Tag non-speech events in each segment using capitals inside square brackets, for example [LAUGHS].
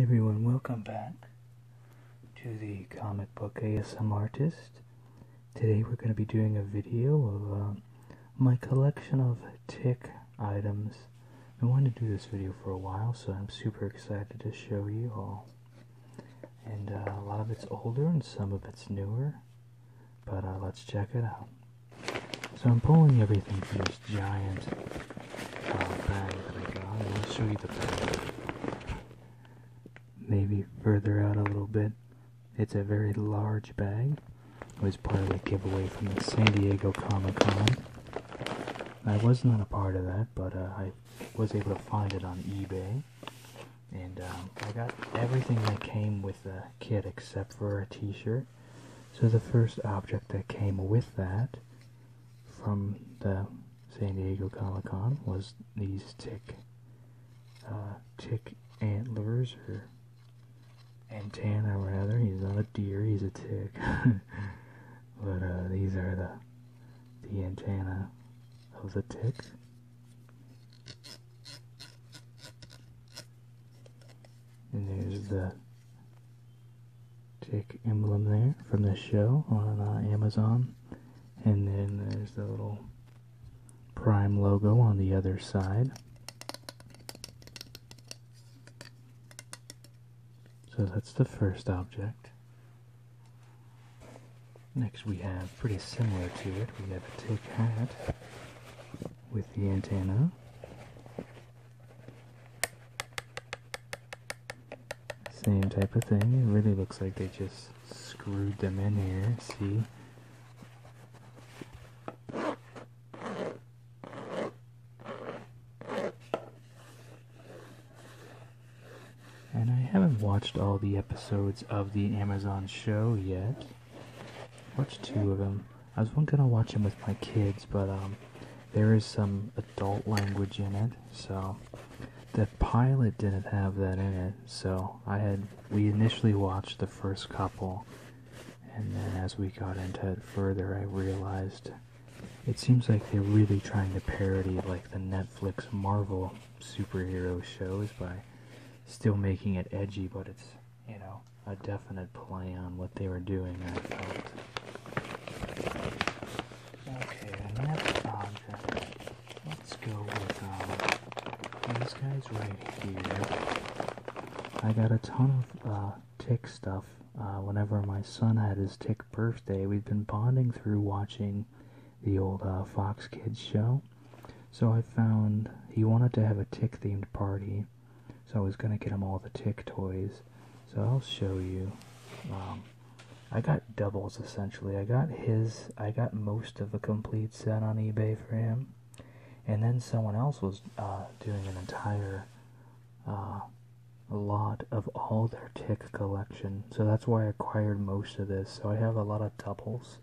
everyone, welcome back to the comic book ASM artist. Today we're going to be doing a video of uh, my collection of tick items. I wanted to do this video for a while, so I'm super excited to show you all. And uh, a lot of it's older and some of it's newer, but uh, let's check it out. So I'm pulling everything here giant uh, bag that I got. I want show you the bag. Maybe further out a little bit. It's a very large bag. was part of the giveaway from the San Diego Comic Con. I was not a part of that, but uh, I was able to find it on eBay. And um, I got everything that came with the kit except for a t-shirt. So the first object that came with that from the San Diego Comic Con was these tick, uh, tick antlers or antenna rather. He's not a deer, he's a tick. [LAUGHS] but uh, these are the the antenna of the tick. And there's the chick emblem there from the show on uh, Amazon. And then there's the little Prime logo on the other side. So that's the first object. Next we have, pretty similar to it, we have a tick hat with the antenna. Same type of thing. It really looks like they just screwed them in here. See? And I haven't watched all the episodes of the Amazon show yet. Watched two of them. I was gonna watch him with my kids, but um, there is some adult language in it, so the pilot didn't have that in it. So I had we initially watched the first couple, and then as we got into it further, I realized it seems like they're really trying to parody like the Netflix Marvel superhero shows by still making it edgy, but it's you know a definite play on what they were doing, I felt. Okay, next object. Let's go with um, these guys right here. I got a ton of uh, tick stuff. Uh, whenever my son had his tick birthday, we'd been bonding through watching the old uh, Fox Kids show. So I found he wanted to have a tick themed party so I was gonna get him all the Tick toys. So I'll show you. Um, I got doubles essentially. I got his. I got most of a complete set on eBay for him, and then someone else was uh, doing an entire uh, lot of all their Tick collection. So that's why I acquired most of this. So I have a lot of doubles.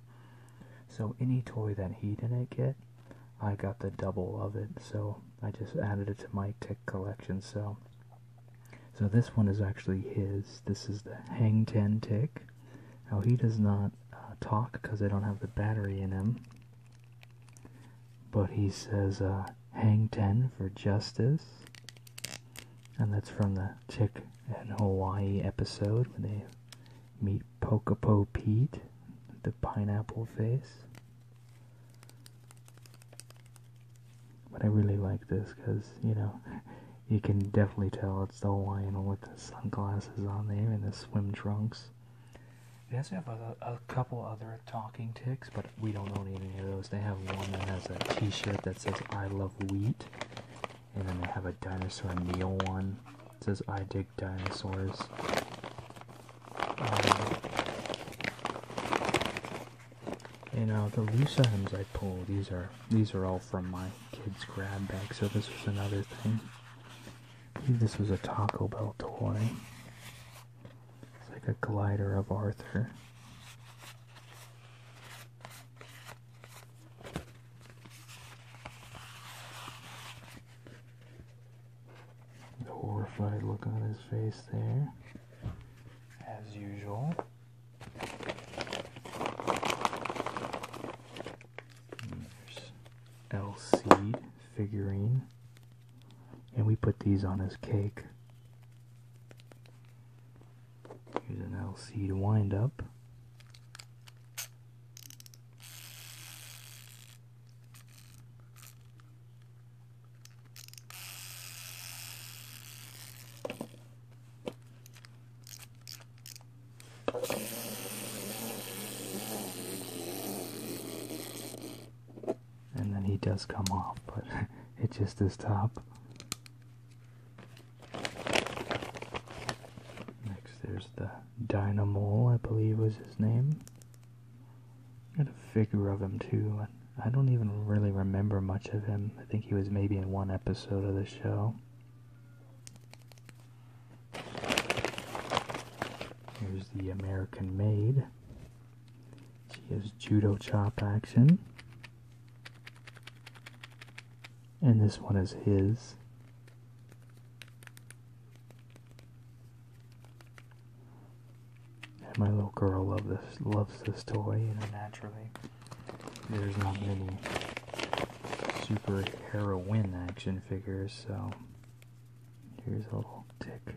So any toy that he didn't get, I got the double of it, so I just added it to my tick collection. So, so this one is actually his. This is the Hang Ten tick. Now he does not uh, talk because I don't have the battery in him, but he says uh, "Hang Ten for justice," and that's from the Tick in Hawaii episode when they meet Pokapo Pete, the pineapple face. But I really like this because, you know, [LAUGHS] you can definitely tell it's the Hawaiian with the sunglasses on there and the swim trunks. They also have a, a couple other talking ticks, but we don't own any of those. They have one that has a t-shirt that says, I love wheat. And then they have a dinosaur meal one. It says, I dig dinosaurs. Um, you know the loose items I pull, these are these are all from my kids' grab bag. So this was another thing. this was a Taco Bell toy. It's like a glider of Arthur. The horrified look on his face there, as usual. there's LC figurine, and we put these on his cake. Here's an LC to wind up. And then he does come off, but [LAUGHS] it just his top. Next, there's the Dynamo, I believe was his name. Got a figure of him too. I don't even really remember much of him. I think he was maybe in one episode of the show. Here's the American Maid. She has judo chop action. And this one is his. And my little girl loves this toy, you know, naturally. There's not many super heroine action figures, so here's a little Dick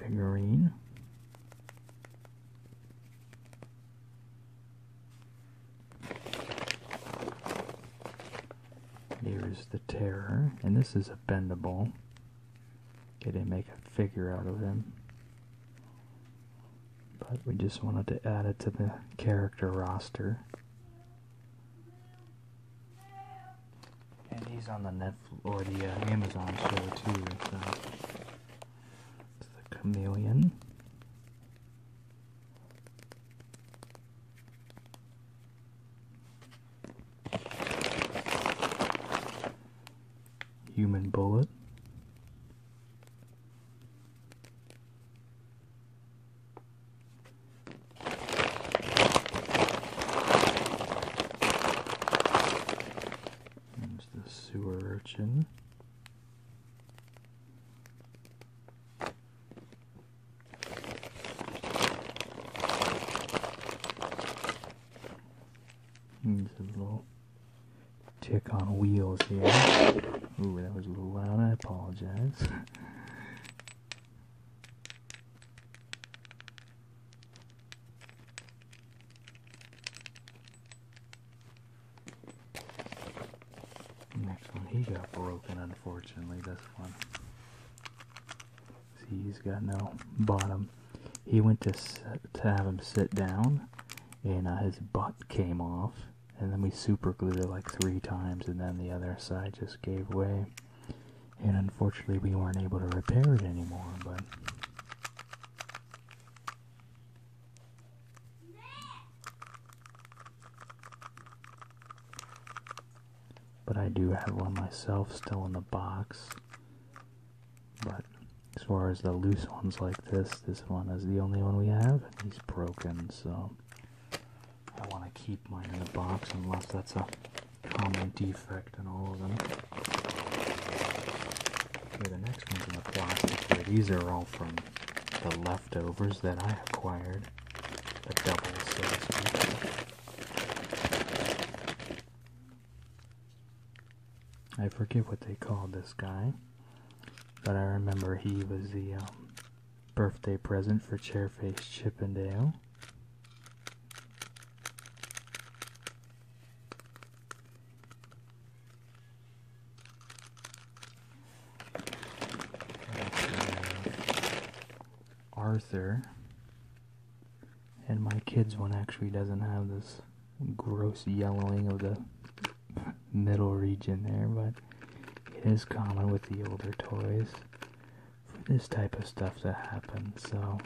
figurine. Here's the terror, and this is a bendable didn't make a figure out of him. But we just wanted to add it to the character roster. And he's on the Netflix or the uh, Amazon show too. So. Uh, it's the Chameleon. Human bullet. There's the sewer urchin. There's a little tick on wheels here. Ooh, that was a little loud. I apologize. [LAUGHS] Next one, he got broken, unfortunately, this one. See, he's got no bottom. He went to, to have him sit down, and uh, his butt came off. And then we super glued it like three times, and then the other side just gave way. And unfortunately, we weren't able to repair it anymore, but but I do have one myself still in the box. But as far as the loose ones like this, this one is the only one we have, and he's broken, so I want to keep mine in the box unless that's a common defect in all of them. Okay, the next one's in the plastic here. These are all from the leftovers that I acquired, the doubles, I forget what they called this guy, but I remember he was the um, birthday present for Chairface Chippendale. Arthur and my kids one actually doesn't have this gross yellowing of the [LAUGHS] middle region there, but it is common with the older toys for this type of stuff to happen, so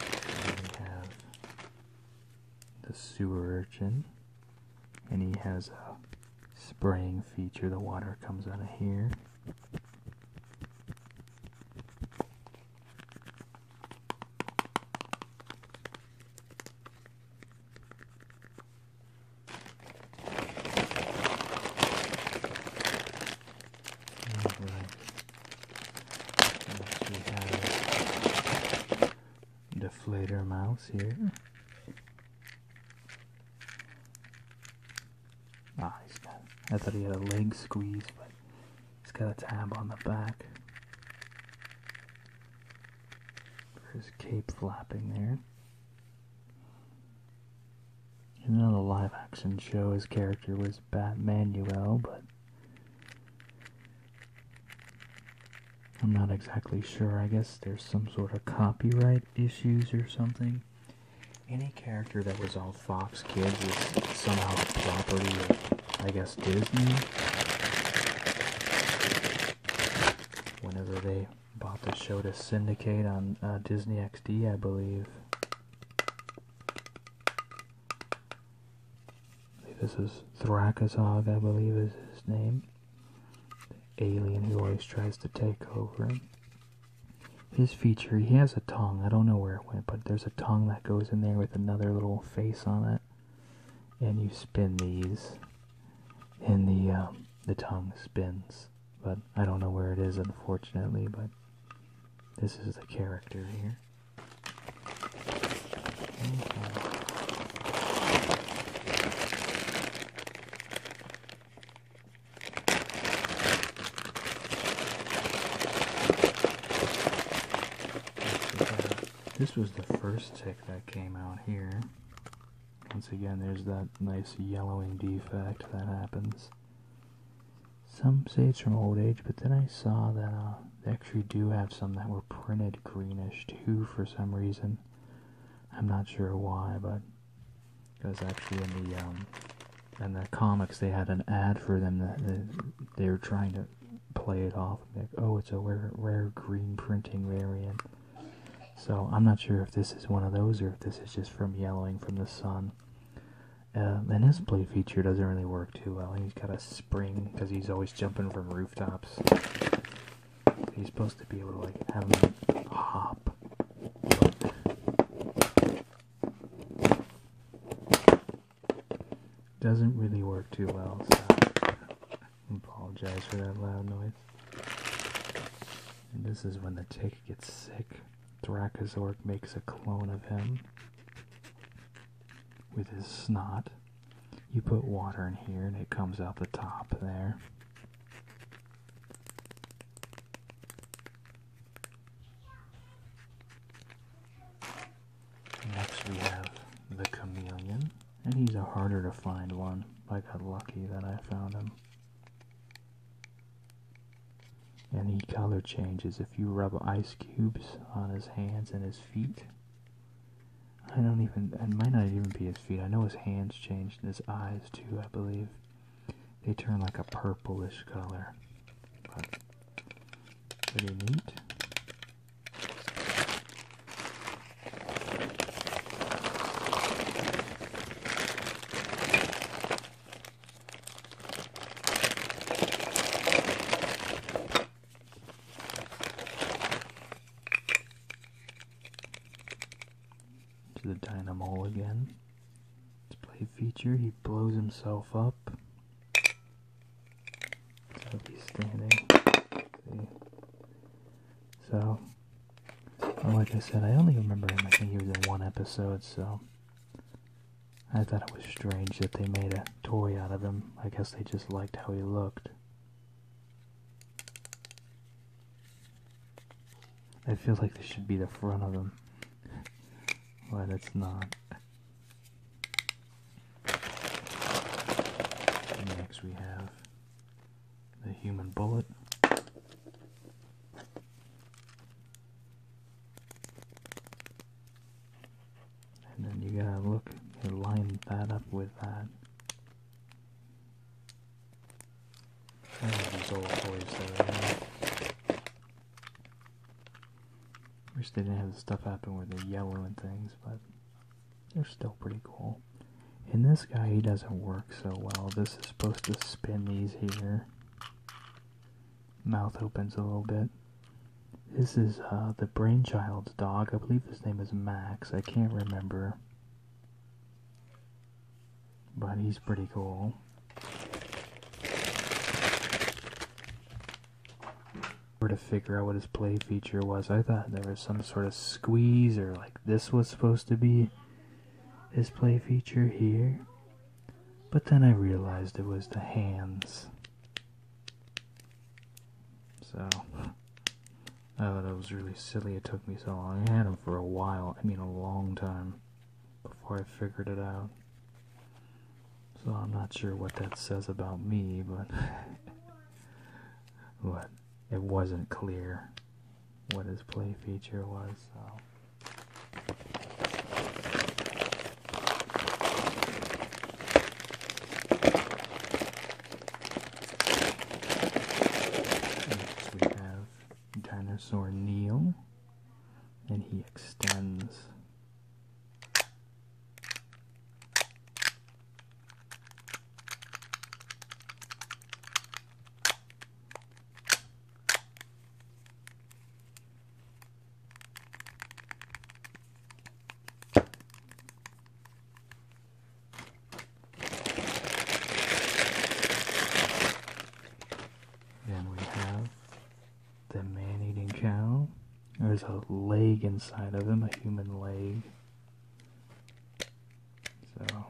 we have the sewer urchin and he has a spraying feature. The water comes out of here. Right. We have deflator mouse here. Ah, he's got. I thought he had a leg squeeze, but he's got a tab on the back for his cape flapping there. In another live action show, his character was Bat Manuel, but I'm not exactly sure. I guess there's some sort of copyright issues or something. Any character that was on Fox Kids is somehow property of, I guess, Disney. Whenever they bought the show to syndicate on uh, Disney XD, I believe this is Thrakazog, I believe is his name. The alien who always tries to take over. His feature, he has a tongue. I don't know where it went, but there's a tongue that goes in there with another little face on it. And you spin these, and the um, the tongue spins. But I don't know where it is, unfortunately. But this is the character here. Mm-hmm. This was the first tick that came out here. Once again, there's that nice yellowing defect that happens. Some say it's from old age, but then I saw that uh, they actually do have some that were printed greenish too for some reason. I'm not sure why, but because actually in the um, in the comics they had an ad for them that they, they were trying to play it off. oh, it's a rare, rare green printing variant. So I'm not sure if this is one of those or if this is just from yellowing from the sun. Uh, and his play feature doesn't really work too well. He's got a spring because he's always jumping from rooftops. He's supposed to be able to like have him hop. Doesn't really work too well, so I apologize for that loud noise. this is when the tick gets sick. Thrakazork makes a clone of him with his snot you put water in here and it comes out the top there. Next we have the chameleon, and he's a harder to find one. I got lucky that I found him. And he color changes if you rub ice cubes on his hands and his feet. I don't even, it might not even be his feet. I know his hands changed and his eyes too, I believe. They turn like a purplish color. pretty neat. To the dynamo again. Display feature, he blows himself up. So like I said, I only remember him, I think he was in one episode, so. I thought it was strange that they made a toy out of him. I guess they just liked how he looked. I feel like this should be the front of them. but it's not. Next we have the human bullet and then you gotta look and line that up with that. And these old toys Wish they didn't have the stuff happen with the yellow and things, but they're still pretty cool. In this guy, he doesn't work so well. This is supposed to spin these here. Mouth opens a little bit. This is uh, the Brainchild's dog. I believe his name is Max. I can't remember. But he's pretty cool. Were to figure out what his play feature was. I thought there was some sort of squeeze or like this was supposed to be his play feature here. But then I realized it was the hands. So, oh, that was really silly. It took me so long. I had them for a while. I mean, a long time before I figured it out. So I'm not sure what that says about me, but [LAUGHS] what it wasn't clear what his play feature was. So. Next we have Dinosaur Neil, and he extends. Then we have the man-eating cow. There's a leg inside of him, a human leg. So,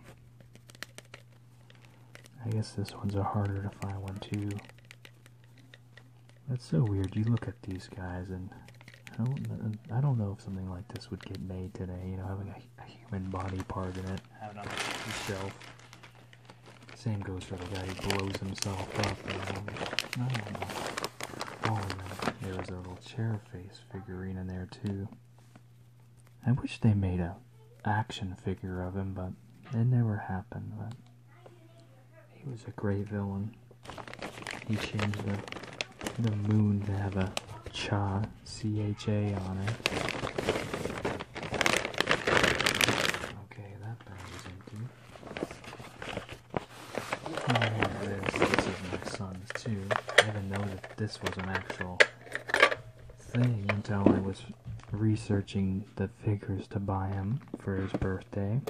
I guess this one's a harder to find one too. That's so weird. You look at these guys, and I don't, know if something like this would get made today. You know, having a, human body part in it, having on the shelf. Same goes for the guy who blows himself up. And, I don't know. Oh, there was a little chair face figurine in there too. I wish they made a action figure of him, but it never happened. But he was a great villain. He changed the, the moon to have a cha, C-H-A on it. Okay, that bag is empty. Oh, here This is my son's, too. I didn't know that this was an actual thing until I was researching the figures to buy him for his birthday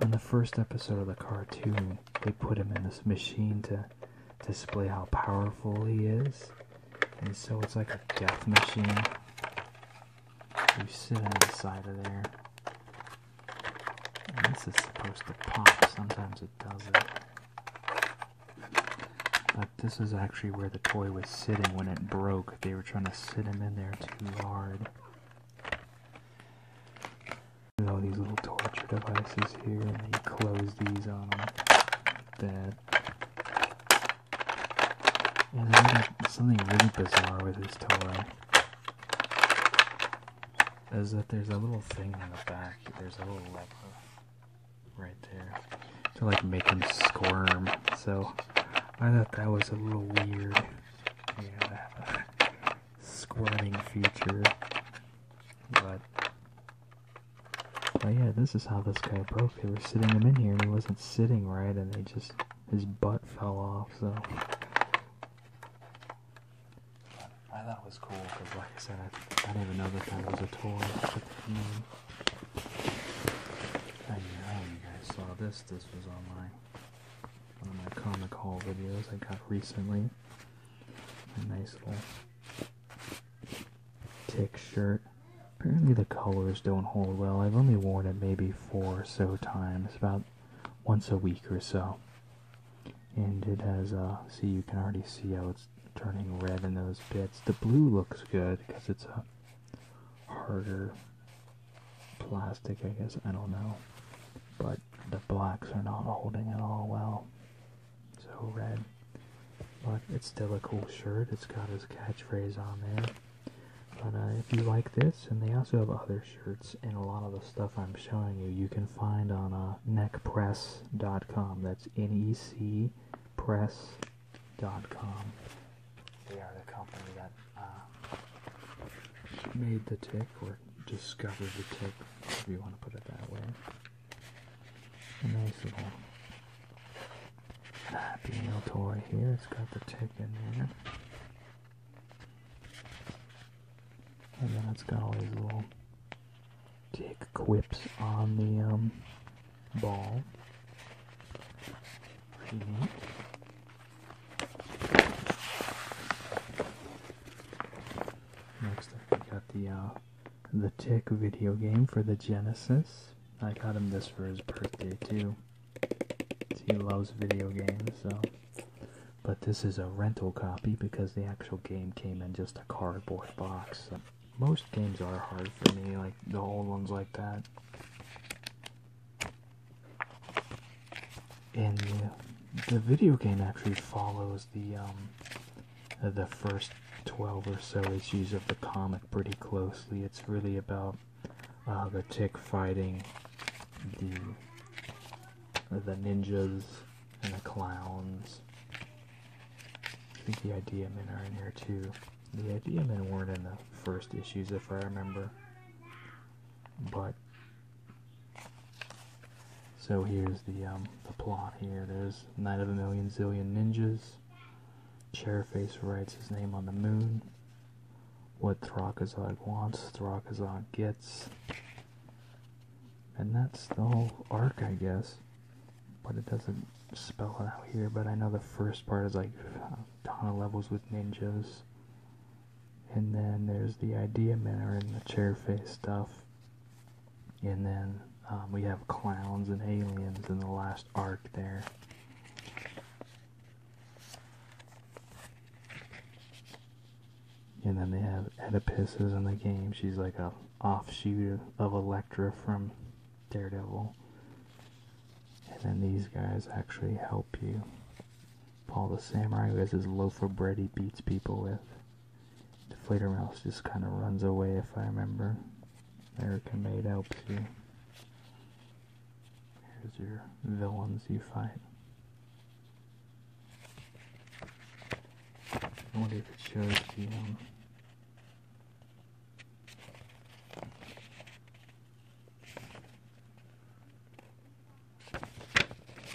on the first episode of the cartoon, they put him in this machine to display how powerful he is. And so it's like a death machine. You sit on the side of there. this is supposed to pop. Sometimes it doesn't. But this is actually where the toy was sitting when it broke. They were trying to sit him in there too hard. There's all these little torture devices here, and you close these on them. That. something really bizarre with this toy is that there's a little thing in the back. There's a little lever right there to like make him squirm. So I thought that was a little weird. Yeah, squirming future, But but yeah, this is how this guy broke. They were sitting him in here, and he wasn't sitting right, and they just his butt fell off. So I thought it was cool because, like I said, I, didn't even know that that was a toy. I, I know you guys saw this. This was online one of my comic haul videos I got recently. A nice little tick shirt. Apparently the colors don't hold well. I've only worn it maybe four or so times, about once a week or so. And it has, a. Uh, see you can already see how it's turning red in those bits. The blue looks good because it's a harder plastic, I guess, I don't know. But the blacks are not holding it all well. So red. But it's still a cool shirt. It's got his catchphrase on there. But uh, if you like this, and they also have other shirts, and a lot of the stuff I'm showing you, you can find on uh, neckpress.com. That's N-E-C press.com. They are the company that uh, made the tick or discovered the tick, if you want to put it that way. A nice little nail toy here. It's got the tick in there. And then it's got all these little tick quips on the um, ball. Next up, we got the uh, the Tick video game for the Genesis. I got him this for his birthday too. He loves video games, so. But this is a rental copy because the actual game came in just a cardboard box. most games are hard for me, like the old ones like that and the, video game actually follows the um, the first 12 or so issues of the comic pretty closely. It's really about uh, the tick fighting the the ninjas and the clowns. I think the idea men are in here too. The idea men weren't in the first issues if I remember. But so here's the um, the plot here. There's Knight of a Million Zillion Ninjas. Chairface writes his name on the moon. What Thrakazad wants, Thrakazad gets. And that's the whole arc, I guess. But it doesn't spell it out here, but I know the first part is like uh, Donna levels with ninjas. And then there's the idea miller and the chair face stuff. And then um, we have clowns and aliens in the last arc there. And then they have Oedipus is in the game. She's like a offshoot of Elektra from Daredevil. And then these guys actually help you. Paul the Samurai has his loaf of bread he beats people with. Deflator Mouse just kind of runs away if I remember. American Made helps you. Here's your villains you fight. wonder if it shows the um,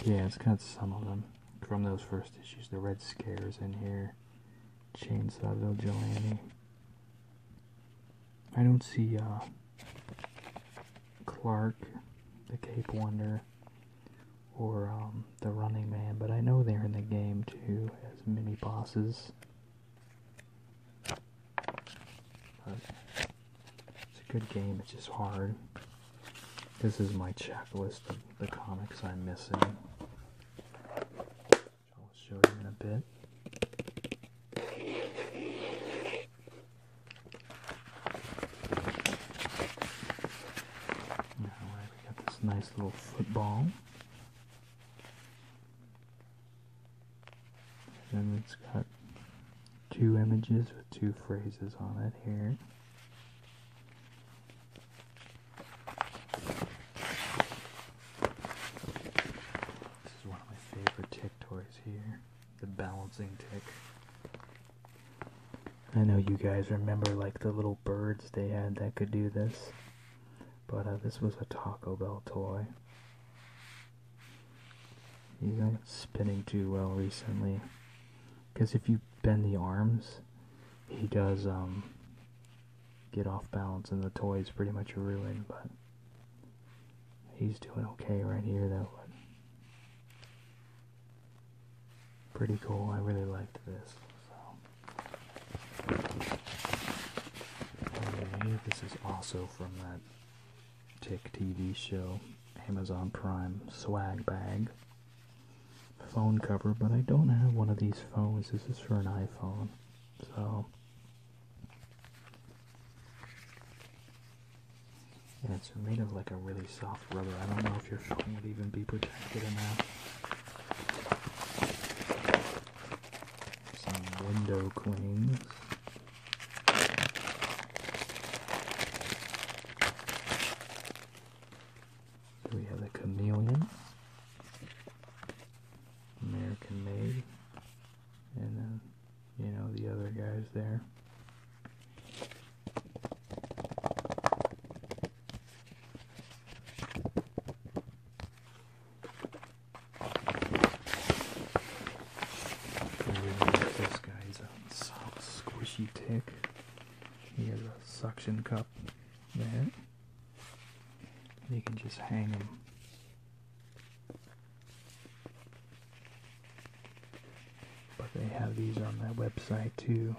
yeah, it's got some of them from those first issues. The Red Scares in here. Chainsaw Vigilante. I don't see uh, Clark, the Cape Wonder, or um, the Running Man, but I know they're in the game too as mini bosses. But it's a good game, it's just hard. This is my checklist of the comics I'm missing. I'll show you in a bit. Now we got this nice little football. And it's got two images with two phrases on it here. This is one of my favorite tick toys here, the balancing tick. I know you guys remember like the little birds they had that could do this, but uh, this was a Taco Bell toy. He's not spinning too well recently. Because if you bend the arms, he does um, get off balance and the toy is pretty much ruined, but he's doing okay right here though. Pretty cool, I really liked this. So. Oh, this is also from that Tick TV show, Amazon Prime swag bag, phone cover, but I don't have one of these phones. This is for an iPhone, so. And it's made of like a really soft rubber. I don't know if your phone would even be protected enough. Some window clings. Here we have the chameleon, American made, and then, you know, the other guys there this guy's a soft, squishy tick. He has a suction cup there. You can just hang him. But they have these on their website too.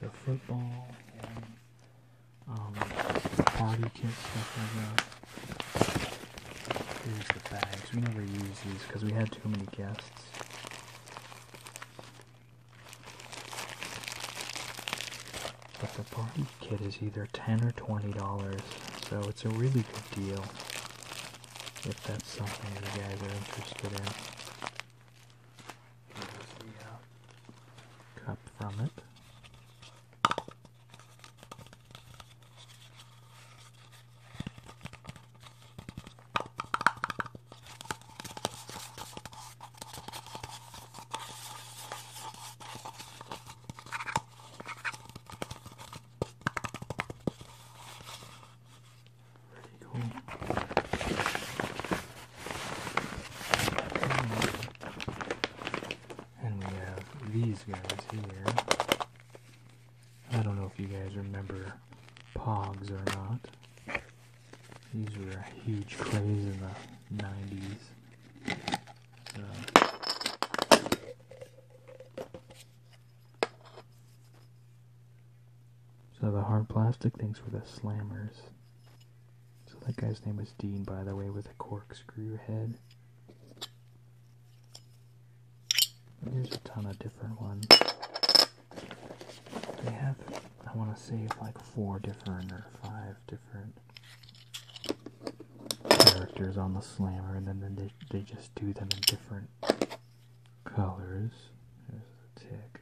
The football and um, party kit stuff like that. Here's the bags. We never use these because we had too many guests. But the party kit is either 10 or $20, so it's a really good deal if that's something the guys are interested in. Here's the cup from it. Pretty cool. And we have these guys here. I don't know if you guys remember Pogs or not. These were a huge craze in the 90s. So. so the hard plastic things were the slammers. So that guy's name was Dean, by the way, with a corkscrew head. There's a ton of different ones. They have, I want to say, like four different or five different characters on the slammer, and then they, they just do them in different colors. There's the tick.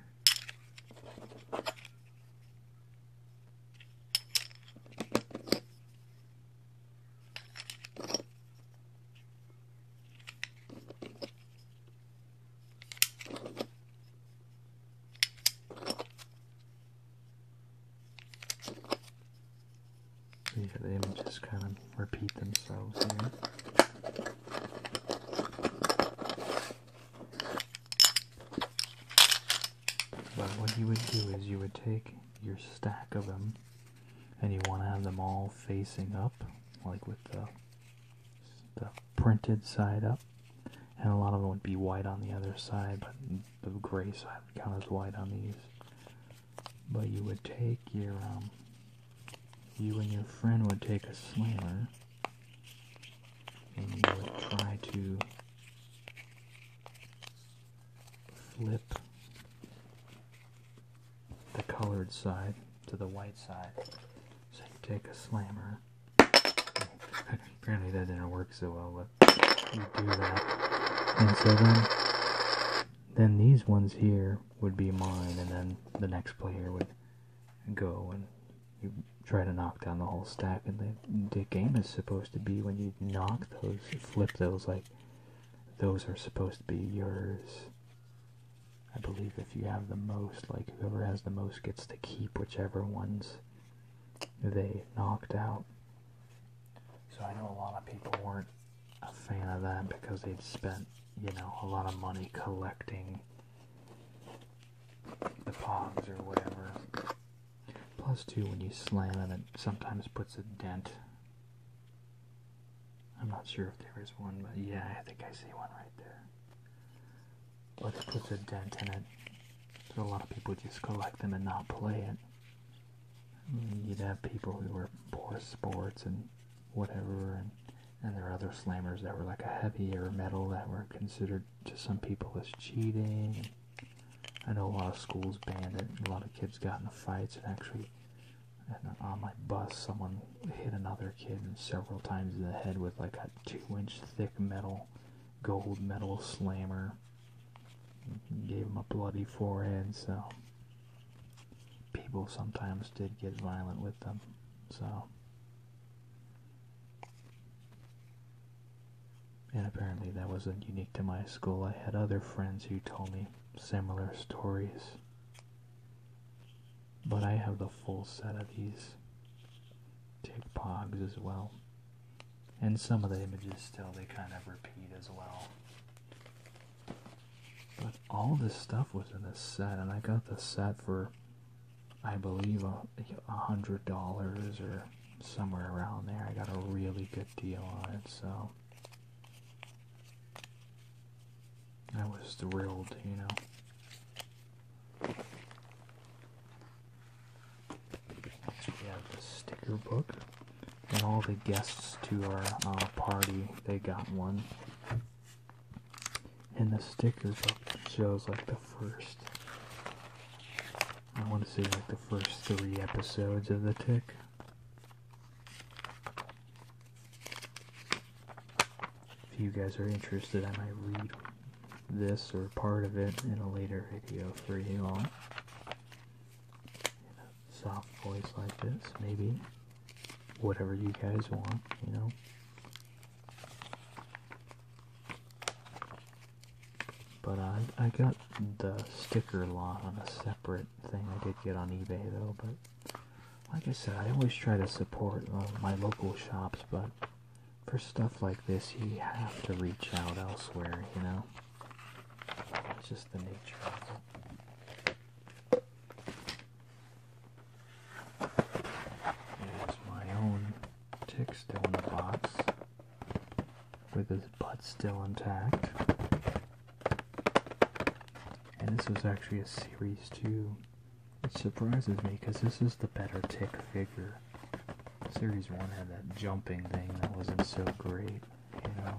These are the images kind of repeat themselves But what you would do is you would take your stack of them and you want to have them all facing up, like with the, the printed side up. And a lot of them would be white on the other side, but the gray side would count as white on these. But you would take your, um, you and your friend would take a slammer, and you would try to flip the colored side to the white side. So you take a slammer. Apparently that didn't work so well, but you do that. And so then, then these ones here would be mine, and then the next player would go and you try to knock down the whole stack. And the game is supposed to be when you knock those, flip those, like those are supposed to be yours. I believe if you have the most, like whoever has the most gets to keep whichever ones they knocked out. So I know a lot of people weren't a fan of that because they'd spent, you know, a lot of money collecting the pogs or whatever. Plus two when you slam them, it sometimes puts a dent I'm not sure if there is one, but yeah, I think I see one right there. Let's put a dent in it. So a lot of people just collect them and not play it. Mm, you'd have people who were poor sports and whatever, and, and there are other slammers that were like a heavier metal that were considered to some people as cheating. I know a lot of schools banned it. A lot of kids got in fights and actually, on my bus, someone hit another kid several times in the head with like a two-inch thick metal, gold metal slammer. Gave him a bloody forehead. So people sometimes did get violent with them. So. And apparently that wasn't unique to my school. I had other friends who told me similar stories. But I have the full set of these tick pogs as well. And some of the images still, they kind of repeat as well. But all this stuff was in this set, and I got the set for, I believe, a hundred dollars or somewhere around there. I got a really good deal on it, so that was the thrilled, you know. we have the sticker book, and all the guests to our uh, party, they got one. And the stickers book shows like the first, I want to say like the first three episodes of The Tick. If you guys are interested, I might read this or part of it in a later video for you all. In a soft voice like this, maybe. Whatever you guys want, you know. But I got the sticker lot on a separate thing I did get on eBay though. But like I said, I always try to support uh, my local shops, but for stuff like this, you have to reach out elsewhere, you know? It's just the nature of it. There's my own tick still in the box with his butt still intact. And this was actually a series two. It surprises me because this is the better tick figure. Series one had that jumping thing that wasn't so great, you know.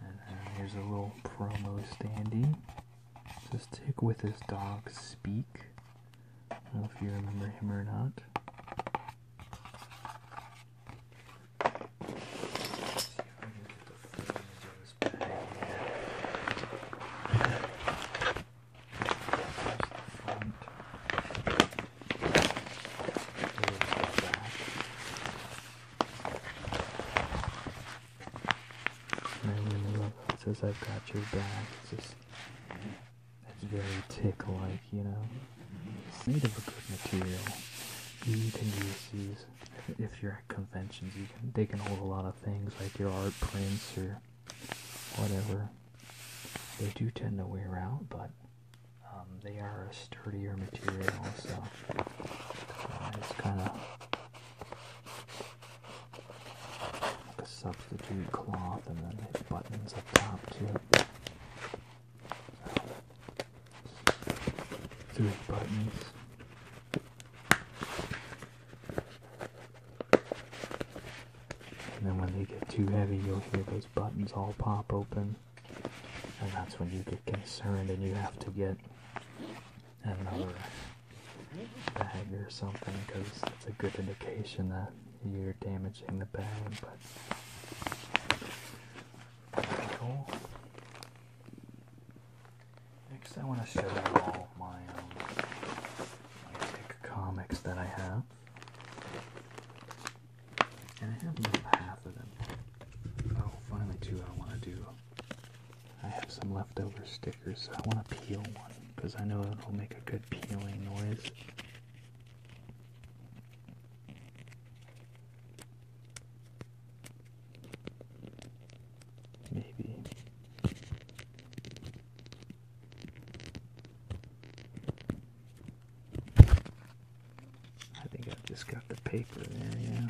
And uh, here's a little promo standing. Just take with his dog speak. I don't know if you remember him or not. I really love how it says I've got your back. It's just it's very tick like, you know. It's made of a good material. You can use these if you're at conventions, you can they can hold a lot of things like your art prints or whatever. They do tend to wear out, but um, they are a sturdier material, so uh, it's kind of like a substitute cloth, and then it buttons up top too. Three buttons. And then when they get too heavy, you'll hear those buttons all pop open. And that's when you get concerned and you have to get another bag or something because it's a good indication that you're damaging the bag. But cool. Next, I want to show you all my um, comics that I have. And I have half of them. Oh, finally two I want to do. I have some leftover stickers, so I want to peel one because I know it'll make a good peeling noise. Maybe. I think I've just got the paper there, yeah.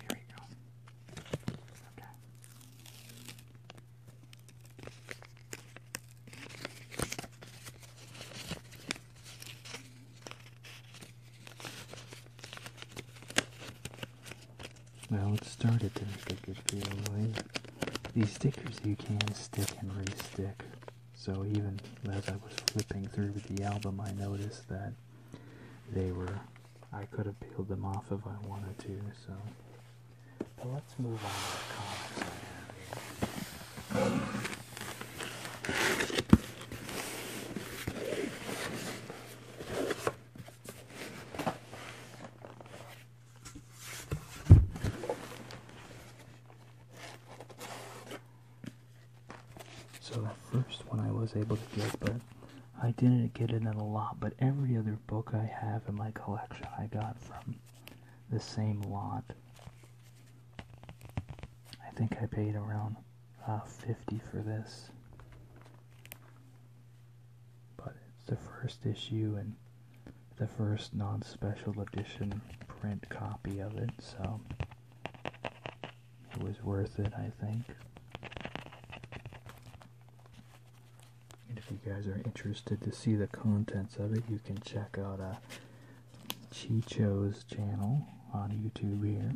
Here we go. Okay. Well, it started to make a good feeling. These stickers you can stick and re-stick. So even as I was flipping through the album, I noticed that they were. I could have peeled them off if I wanted to. So, but let's move on to the comics so the first one I was able to get, but I didn't get it in a lot, but every other book I have in my collection I got from the same lot. I think I paid around uh, 50 for this. But it's the first issue and the first non-special edition print copy of it, so it was worth it, I think. And if you guys are interested to see the contents of it, you can check out uh, Chicho's channel on YouTube here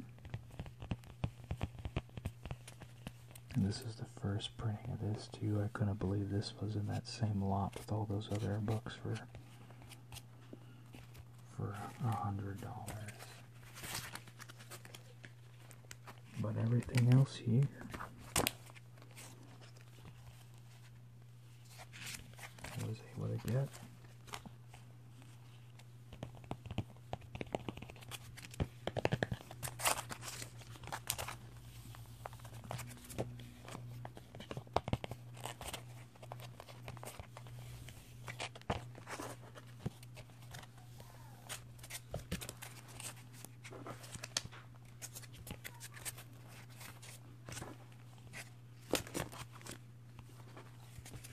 this is the first printing of this too. I couldn't believe this was in that same lot with all those other books for for a hundred dollars. But everything else here I was able to get.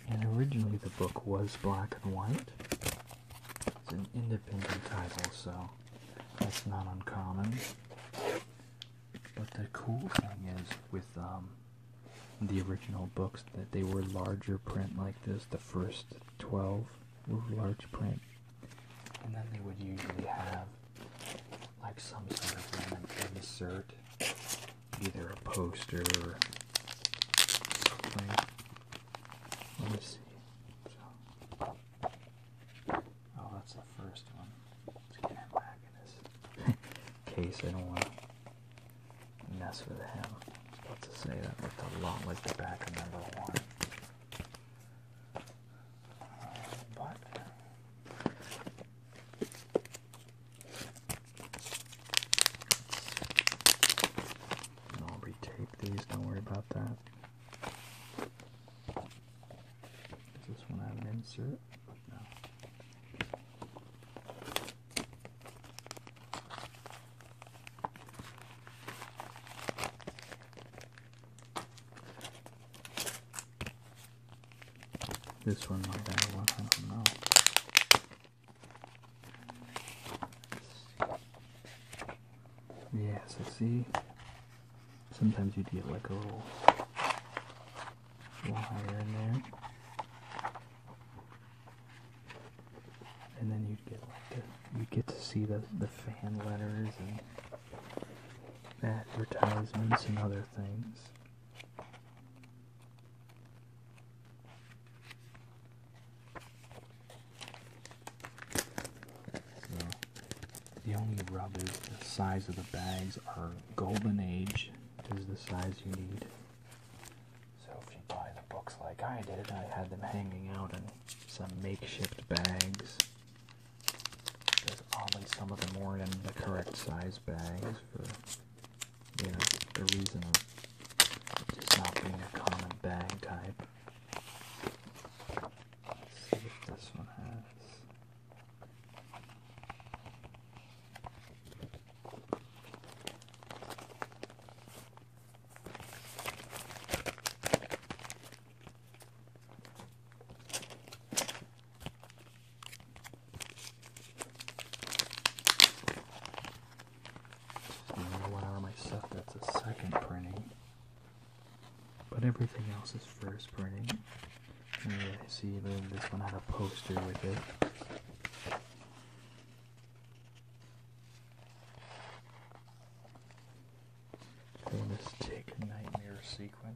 And originally the book was black and white, it's an independent title, so that's not uncommon. But the cool thing is with um, the original books that they were larger print like this. The first 12 were large print. And then they would usually have like some sort of insert, either a poster or something. Let me see. Oh, that's the first one. Let's get him back in his [LAUGHS] case. I don't want to mess with him. I was about to say that looked a lot like the back of number one. but I'll retape these. Don't worry about that. Does this one have an insert? No. This one might have one, I don't know. Yeah, so see, sometimes you get like a little wire in there, and then you get like you get to see the the fan letters and advertisements and other things. The only rub is the size of the bags are golden age is the size you need. So if you buy the books like I did, I had them hanging out in some makeshift bags. Because only some of them weren't in the correct size bags for you know the reason of just not being a common bag type. Let's see if this one has. of my set that's a second printing but everything else is first printing. I see, that this one had a poster with it. Famous Nightmare Sequence.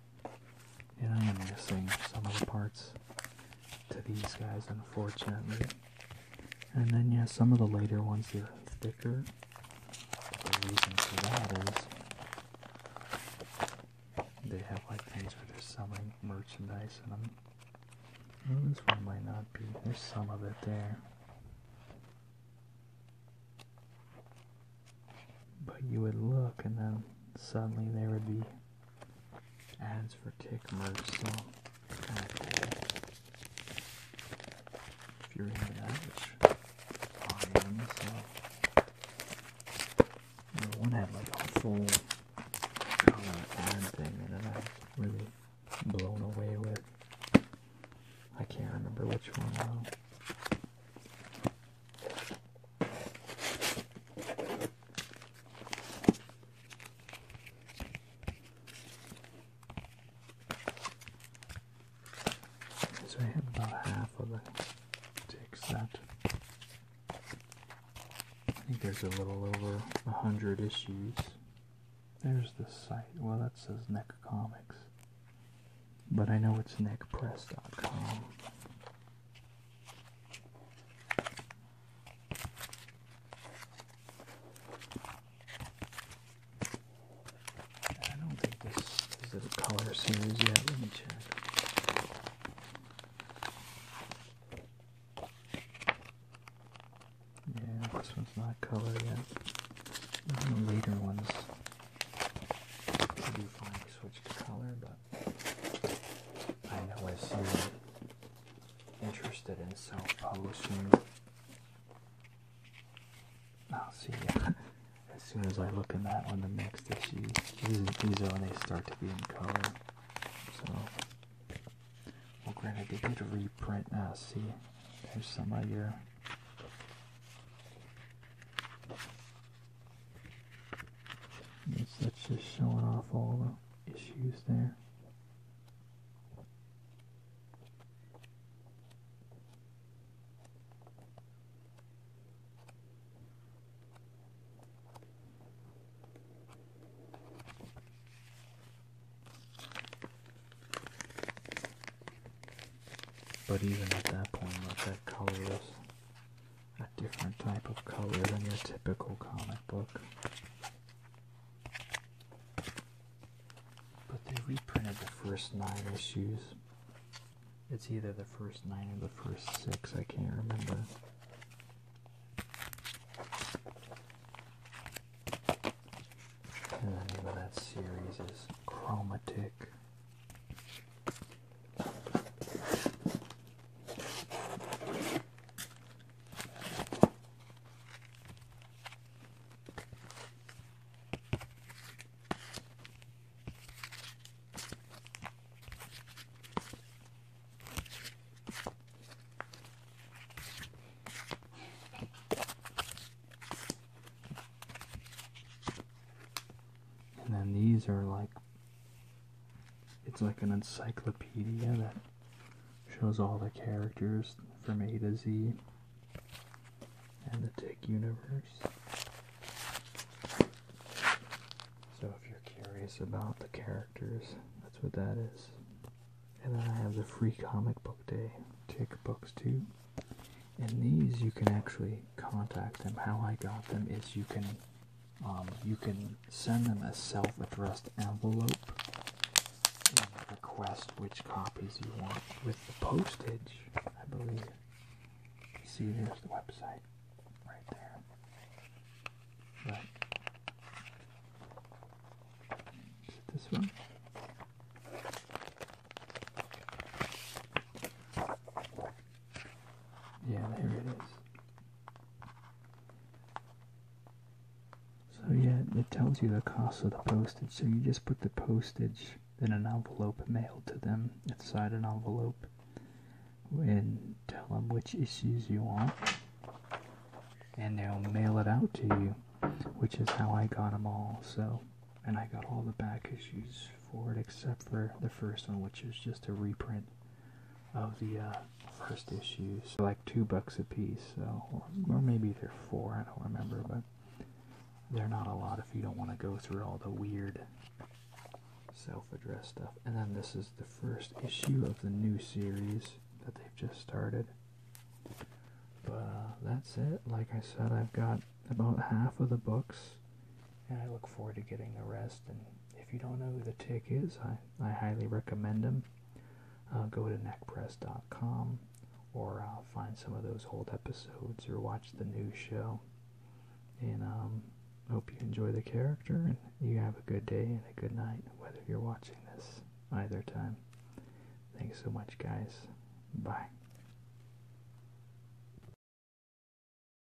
And I am missing some of the parts to these guys, unfortunately. And then, yeah, some of the later ones are thicker. But the reason for that is they have like things where they're selling merchandise in them. this one might not be. There's some of it there. But you would look, and then suddenly there would be ads for kick merch, so If you're into that, which I am, so the one had like a full color ad thing in I am really blown away with. I can't remember which one though. So I had about half of the tick set. I think there's a little over a hundred issues. There's the site. Well, that says Nick Comics. But I know it's nickpress.com. I don't think this is a color series yet. Let me check. Yeah, this one's not color yet. later ones, do finally switch to color, but I know I seem interested in self-publishing. I'll see [LAUGHS] As soon as I look in that one, the next issue, these, these are when they start to be in color. So, well, granted, they did reprint. Now, ah, see, there's some of your that's just showing off all the issues there. But even at that point, let that colorless a different type of color than your typical comic book. But they reprinted the first nine issues. It's either the first nine or the first six, I can't remember. And the name of that series is Chromatic and then these are like it's like an encyclopedia that shows all the characters from A to Z and the Tick universe. So if you're curious about the characters, that's what that is. And then I have the free comic book day, Tick Books too. And these you can actually contact them. How I got them is you can um, you can send them a self-addressed envelope and request which copies you want with the postage, I believe. See, there's the website right there. But this one? Yeah, there it is. So yeah, it tells you the cost of the postage, so you just put the postage in an envelope mailed to them inside an envelope and tell them which issues you want and they'll mail it out to you which is how I got them all so and I got all the back issues for it except for the first one which is just a reprint of the uh, first issues, like two bucks a piece, so or, maybe they're four. I don't remember, but they're not a lot if you don't want to go through all the weird self address stuff. And then this is the first issue of the new series that they've just started. But uh, that's it. Like I said, I've got about half of the books and I look forward to getting the rest. And if you don't know who the Tick is, I, I highly recommend him. Uh, go to neckpress.com or find some of those old episodes or watch the new show. And um, hope you enjoy the character and you have a good day and a good night, whether you're watching this either time. Thanks so much, guys. Bye.